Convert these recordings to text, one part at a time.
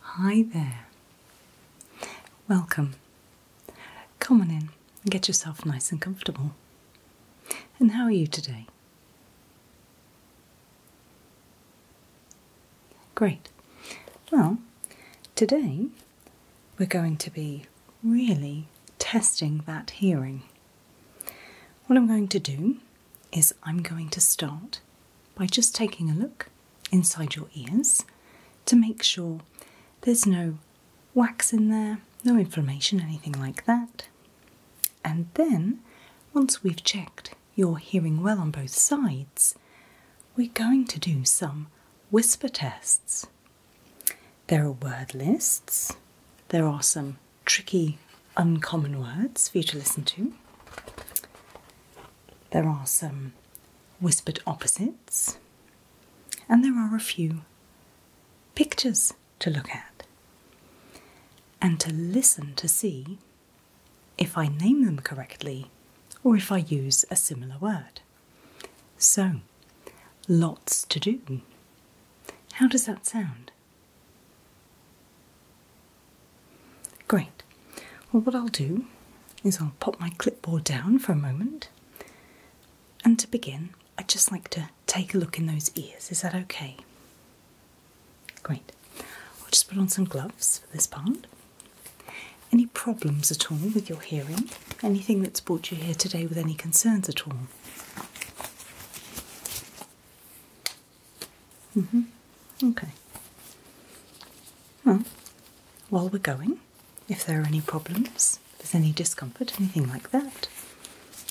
Hi there. Welcome. Come on in and get yourself nice and comfortable. And how are you today? Great. Well, today we're going to be really testing that hearing. What I'm going to do is I'm going to start by just taking a look inside your ears to make sure there's no wax in there, no inflammation, anything like that. And then, once we've checked you're hearing well on both sides, we're going to do some whisper tests. There are word lists, there are some tricky, uncommon words for you to listen to. There are some whispered opposites, and there are a few pictures to look at and to listen to see if I name them correctly or if I use a similar word. So, lots to do. How does that sound? Great. Well, what I'll do is I'll pop my clipboard down for a moment. And to begin, I'd just like to take a look in those ears. Is that okay? Great. I'll just put on some gloves for this part. Any problems at all with your hearing? Anything that's brought you here today with any concerns at all? hmm Okay. Well, while we're going, if there are any problems, if there's any discomfort, anything like that,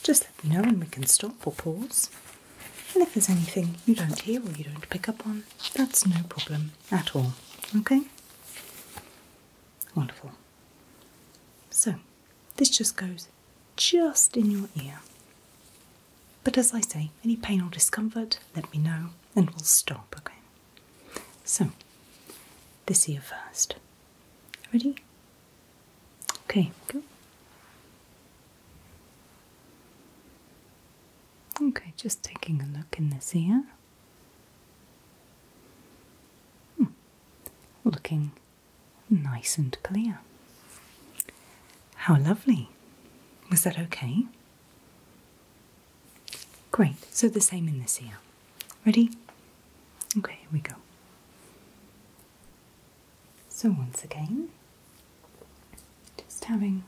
just let me know and we can stop or pause. And if there's anything you don't hear or you don't pick up on, that's no problem at all. Okay? Wonderful. So, this just goes just in your ear. But as I say, any pain or discomfort, let me know and we'll stop, okay? So, this ear first. Ready? Okay, go. Okay, just taking a look in this ear. Hmm. Looking nice and clear. How lovely. Was that okay? Great, so the same in the ear. Ready? Okay, here we go. So, once again, just having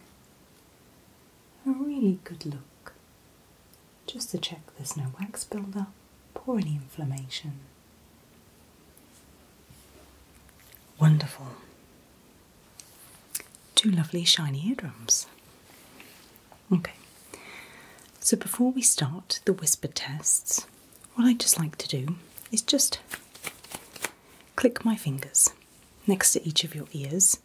a really good look just to check there's no wax buildup or any inflammation. Wonderful two lovely shiny eardrums. Okay, so before we start the whisper tests, what I just like to do is just click my fingers next to each of your ears.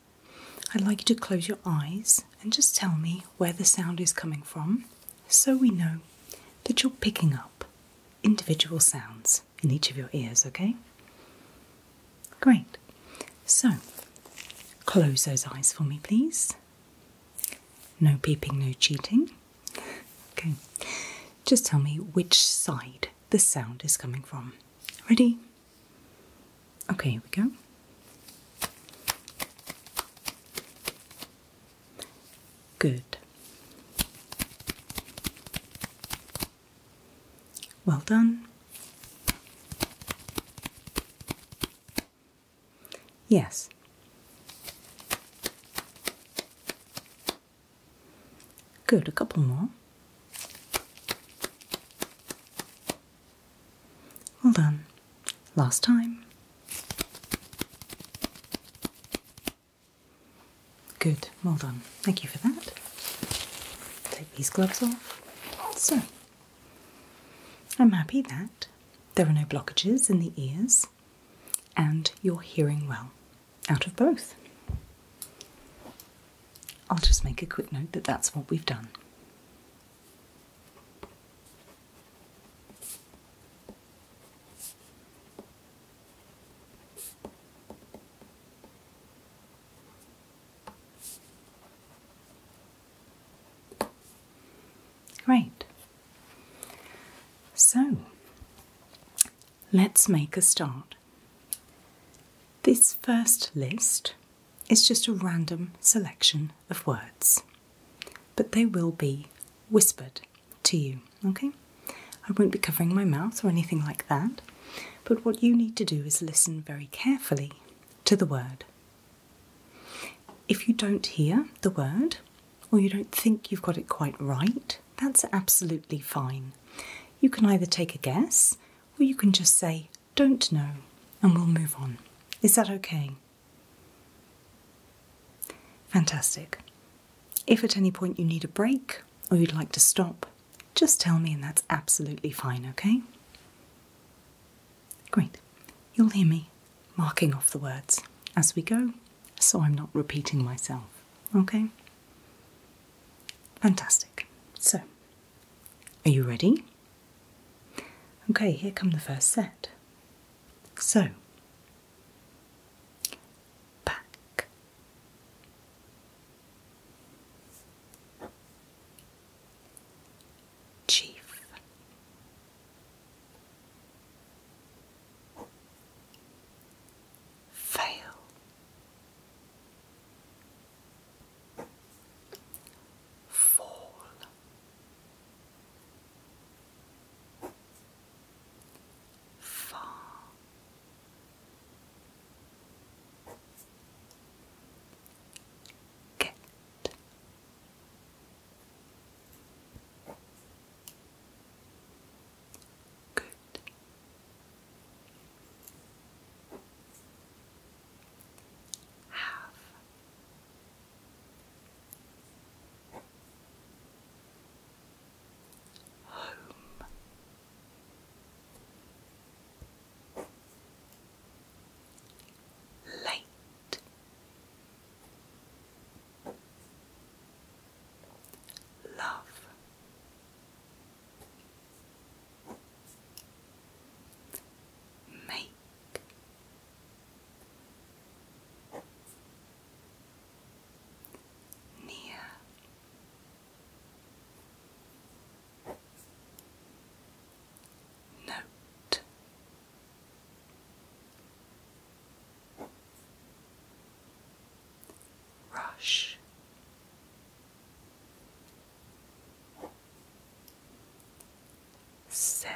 I'd like you to close your eyes and just tell me where the sound is coming from so we know that you're picking up individual sounds in each of your ears, okay? Great. So, close those eyes for me, please. No peeping, no cheating. Okay, just tell me which side the sound is coming from. Ready? Okay, here we go. Good. Well done. Yes. Good, a couple more. Well done. Last time. Good, well done. Thank you for that. Take these gloves off. So, I'm happy that there are no blockages in the ears and you're hearing well out of both. I'll just make a quick note that that's what we've done. Great. So, let's make a start. This first list is just a random selection of words, but they will be whispered to you, okay? I won't be covering my mouth or anything like that. But what you need to do is listen very carefully to the word. If you don't hear the word, or you don't think you've got it quite right, that's absolutely fine. You can either take a guess or you can just say, don't know, and we'll move on. Is that okay? Fantastic. If at any point you need a break or you'd like to stop, just tell me, and that's absolutely fine, okay? Great. You'll hear me marking off the words as we go, so I'm not repeating myself, okay? Fantastic. So, are you ready? Okay, here come the first set. So, back, Chief Fail Fall Far Get. Good. Have. Home. Light. love, make. Near Note. Rush. Said.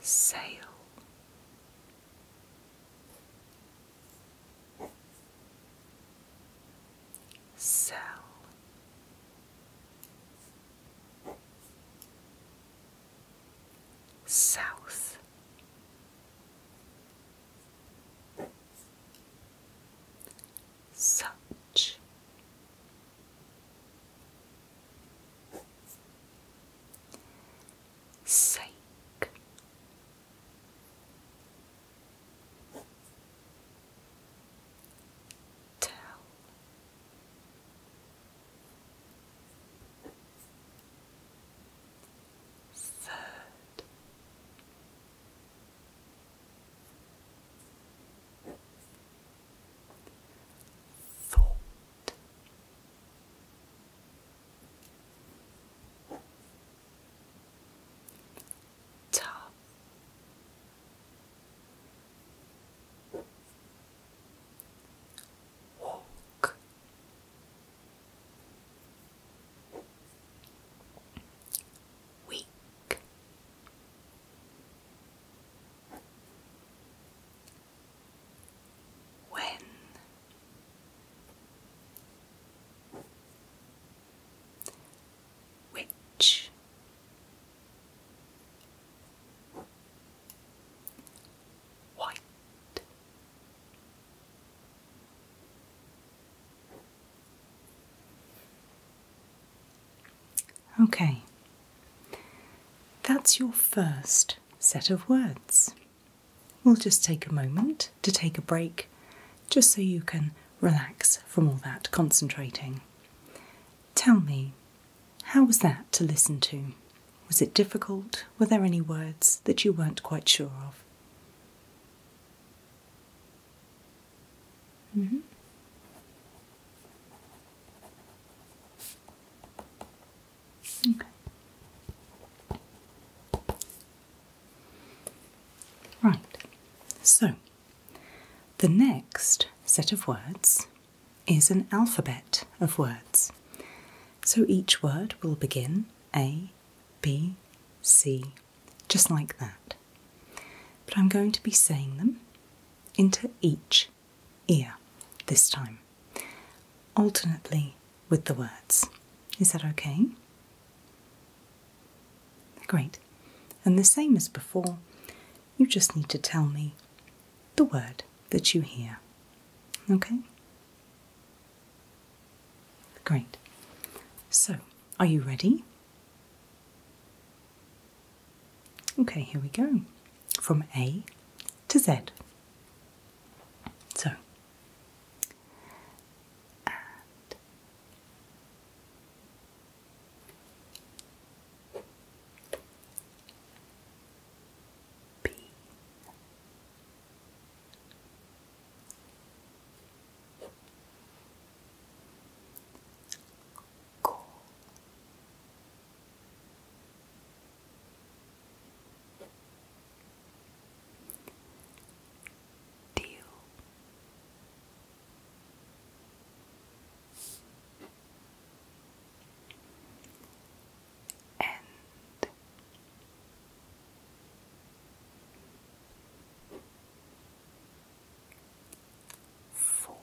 Sail Cell South such sake. Tell. Third. Thought top walk weak when which white Okay, that's your first set of words. We'll just take a moment to take a break just so you can relax from all that concentrating. Tell me, how was that to listen to? Was it difficult? Were there any words that you weren't quite sure of? Mm-hmm. Right, so the next set of words is an alphabet of words. So each word will begin A, B, C, just like that. But I'm going to be saying them into each ear this time alternately with the words. Is that okay? Great. And the same as before, you just need to tell me the word that you hear. Okay? Great. So, are you ready? Okay, here we go. From A to Z. So, and B Deal. End. Form.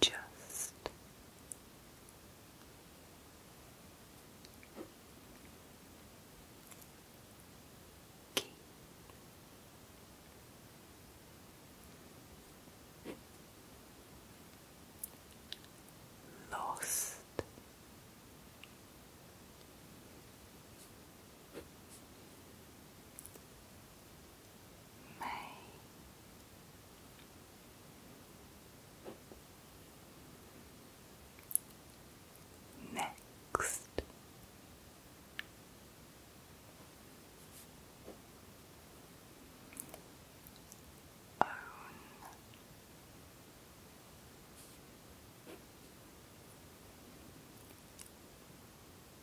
Just keep lost. May. Next, own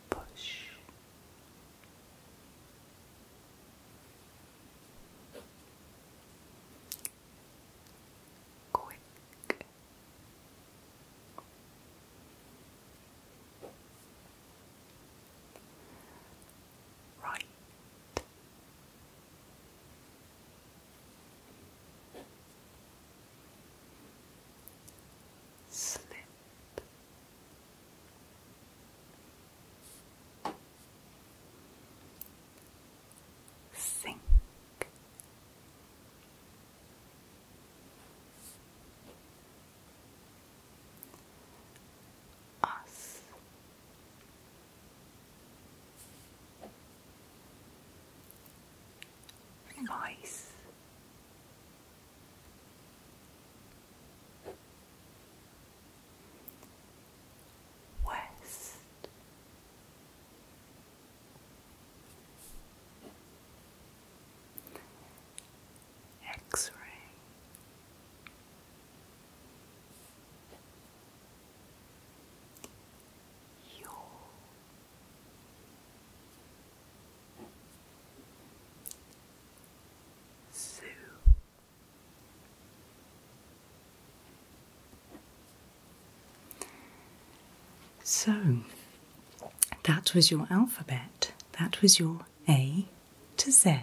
push. Quick. Right slip. Sink, us, voice, west. X ray your Zoo. So that was your alphabet. That was your A to Z.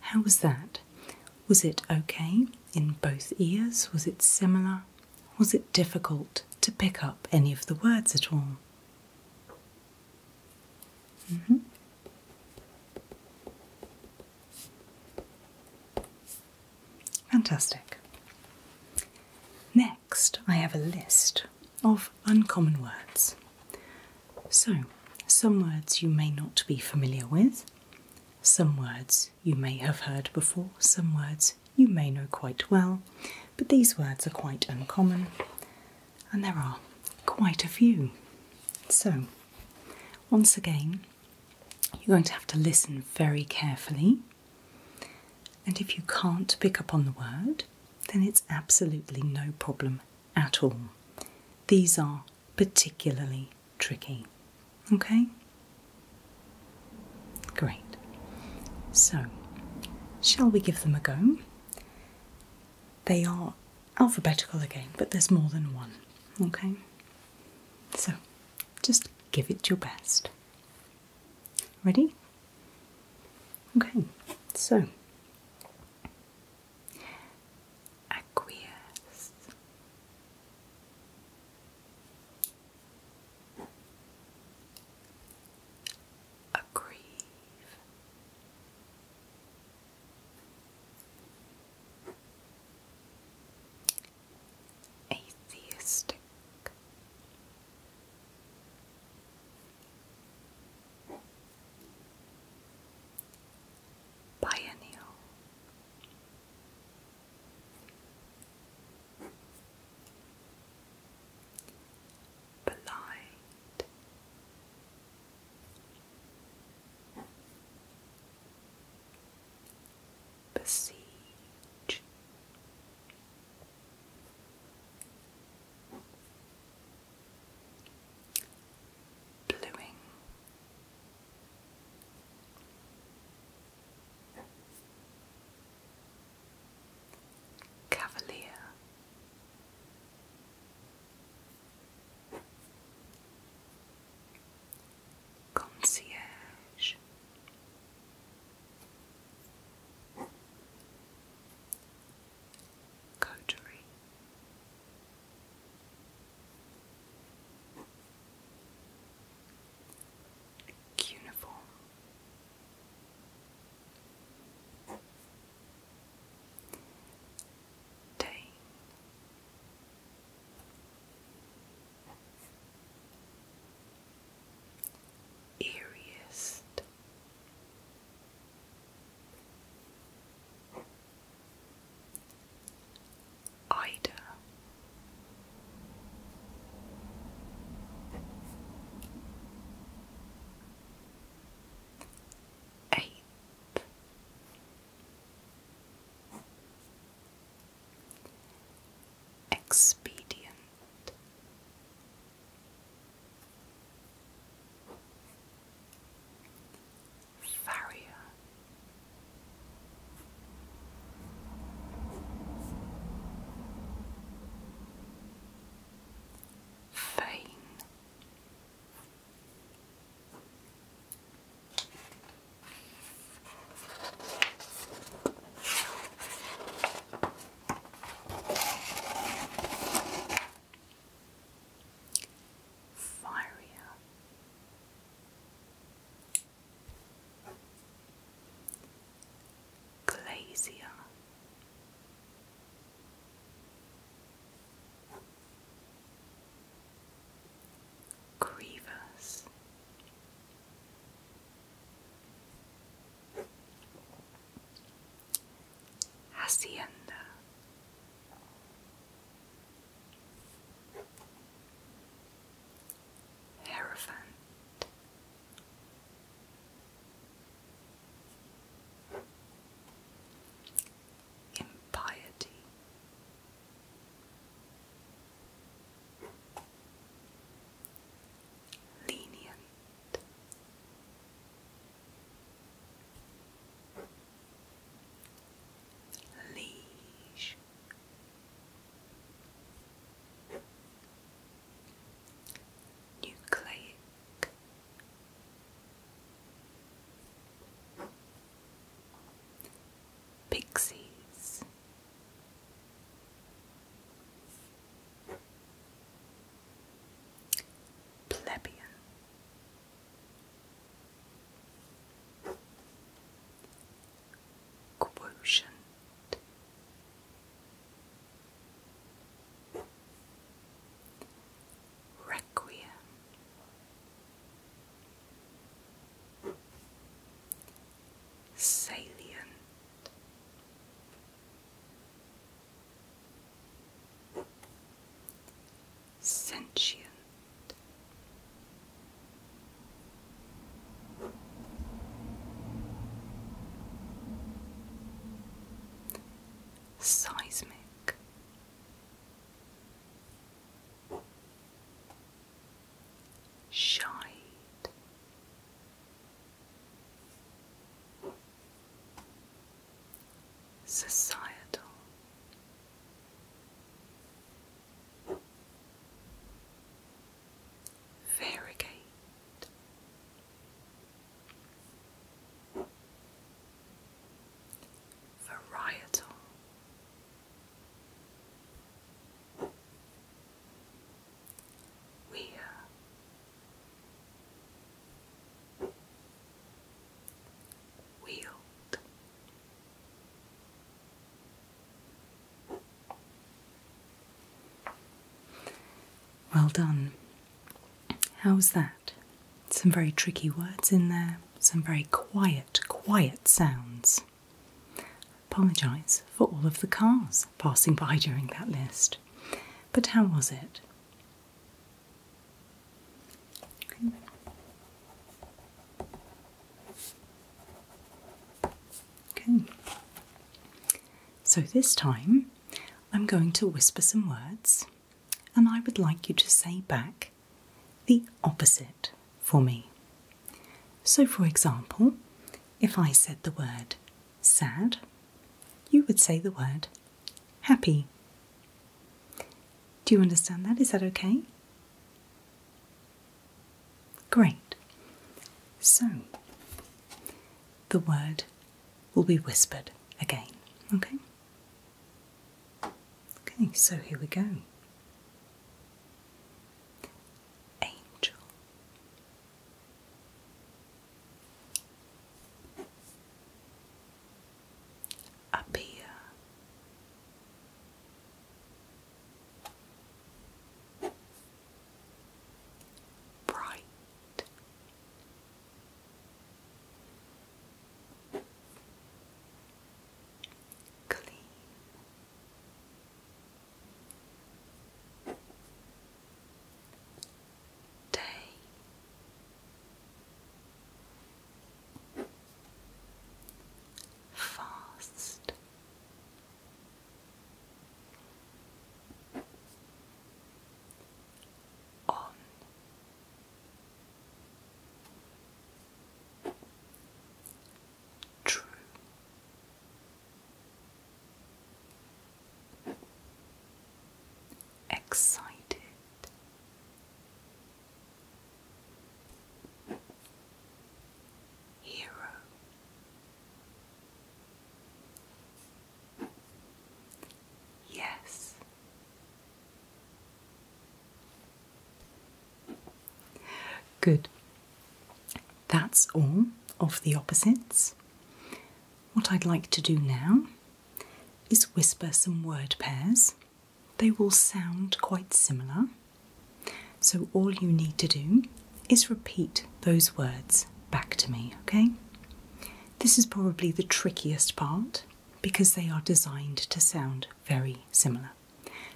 How was that? Was it okay in both ears? Was it similar? Was it difficult to pick up any of the words at all? Mm -hmm. Fantastic. Next, I have a list of uncommon words. So, some words you may not be familiar with, some words you may have heard before, some words you may know quite well, but these words are quite uncommon and there are quite a few. So, once again, you're going to have to listen very carefully, and if you can't pick up on the word, then it's absolutely no problem at all. These are particularly tricky. Okay? Great. So, shall we give them a go? They are alphabetical again, but there's more than one. Okay? So just give it your best. Ready? Okay, so acquiesce aggrieve. Atheistic. Biennial blind. Besiege. Bluing. Cavalier. Concierge. Coterie. Cuneiform. Dane. Eeriest Ida eight, expedient. Farrier Fine. Fire. Glacier grievous. Hacienda Hierophant Impiety. Lenient. Liege. Nucleic. Pixies. Plebeian. Quotient Requiem. Salient. Sentient seismic. Shide. Societal. Variegate. Varietal. Weir. Uh, wield. Well done. How's that? Some very tricky words in there, some very quiet, quiet sounds. apologise for all of the cars passing by during that list. But how was it? Okay. So this time I'm going to whisper some words, and I would like you to say back the opposite for me. So, for example, if I said the word sad, you would say the word happy. Do you understand that? Is that okay? Great. So, the word will be whispered again. Okay? Okay, so here we go. Angel. Appear. Bright. Clean. Day. Fast on. True. Excited. Hero Yes. Good. That's all of the opposites. What I'd like to do now is whisper some word pairs. They will sound quite similar. So all you need to do is repeat those words back to me, okay? This is probably the trickiest part because they are designed to sound very similar.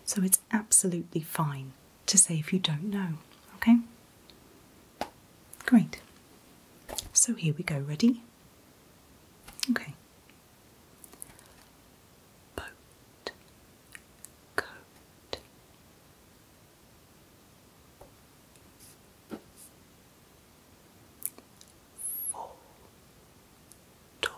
So it's absolutely fine to say if you don't know, okay? Great. So here we go, ready? Okay. Boat, coat, four, two,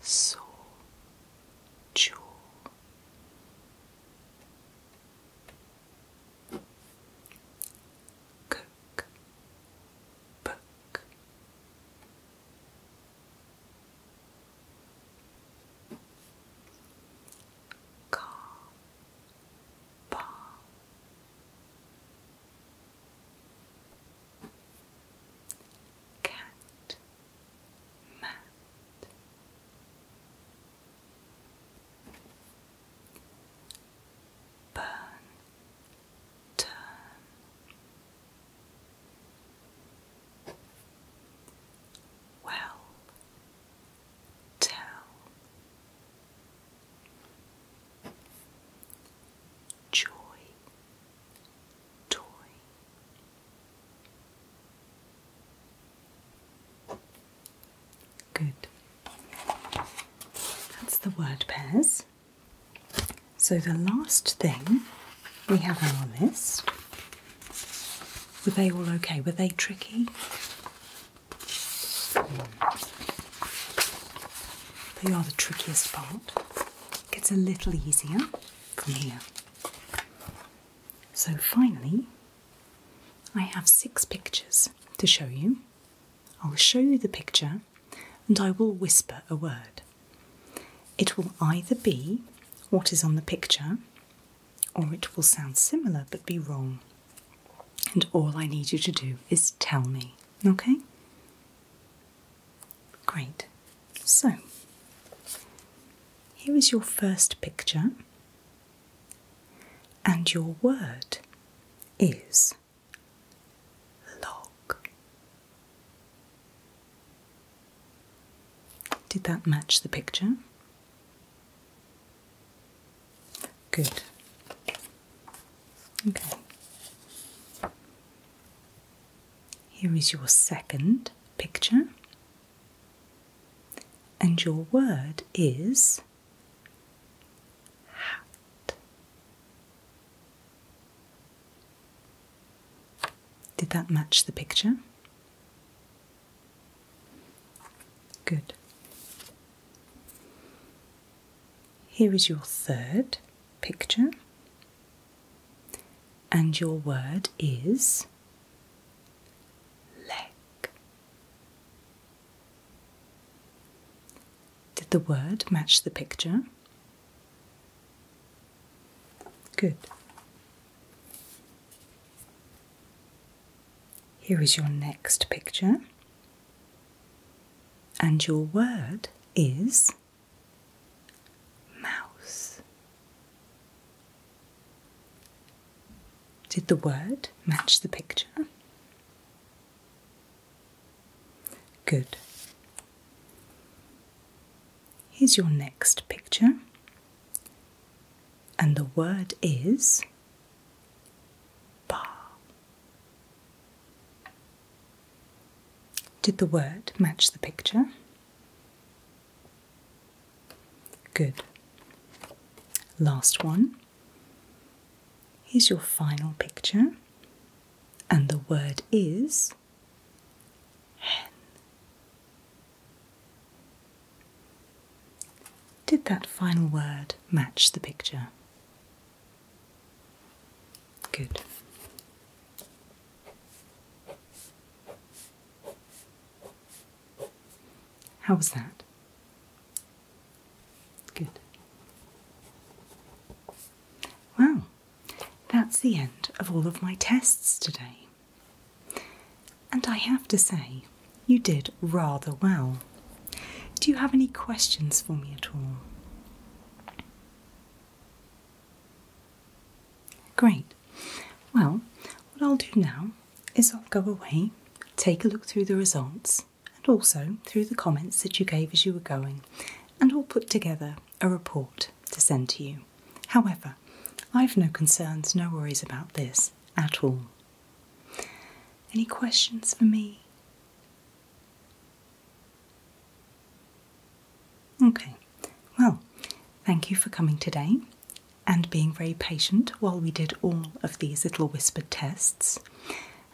so two cook book car cat mat burn, turn. Well, tell. Joy, toy. Good. That's the word pairs. So, the last thing we have on this were they all okay? Were they tricky? They are the trickiest part. It gets a little easier from here. So, finally, I have six pictures to show you. I'll show you the picture and I will whisper a word. It will either be what is on the picture or it will sound similar but be wrong. And all I need you to do is tell me, okay? Great. So, here is your first picture, and your word is log. Did that match the picture? Good. Okay. Here is your second picture, and your word is hat. Did that match the picture? Good. Here is your third picture, and your word is leg. Did the word match the picture? Good. Here is your next picture. And your word is mouse. Did the word match the picture? Good. Here's your next picture, and the word is bar. Did the word match the picture? Good. Last one. Here's your final picture, and the word is hen. Did that final word match the picture? Good. How was that? Good. Well, that's the end of all of my tests today. And I have to say, you did rather well. Do you have any questions for me at all? Great. Well, what I'll do now is I'll go away, take a look through the results, and also through the comments that you gave as you were going, and we'll put together a report to send to you. However, I've no concerns, no worries about this at all. Any questions for me? Okay, well, thank you for coming today and being very patient while we did all of these little whispered tests.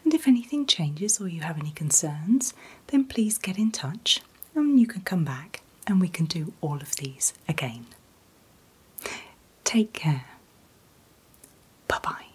And if anything changes or you have any concerns, then please get in touch and you can come back and we can do all of these again. Take care. Bye bye.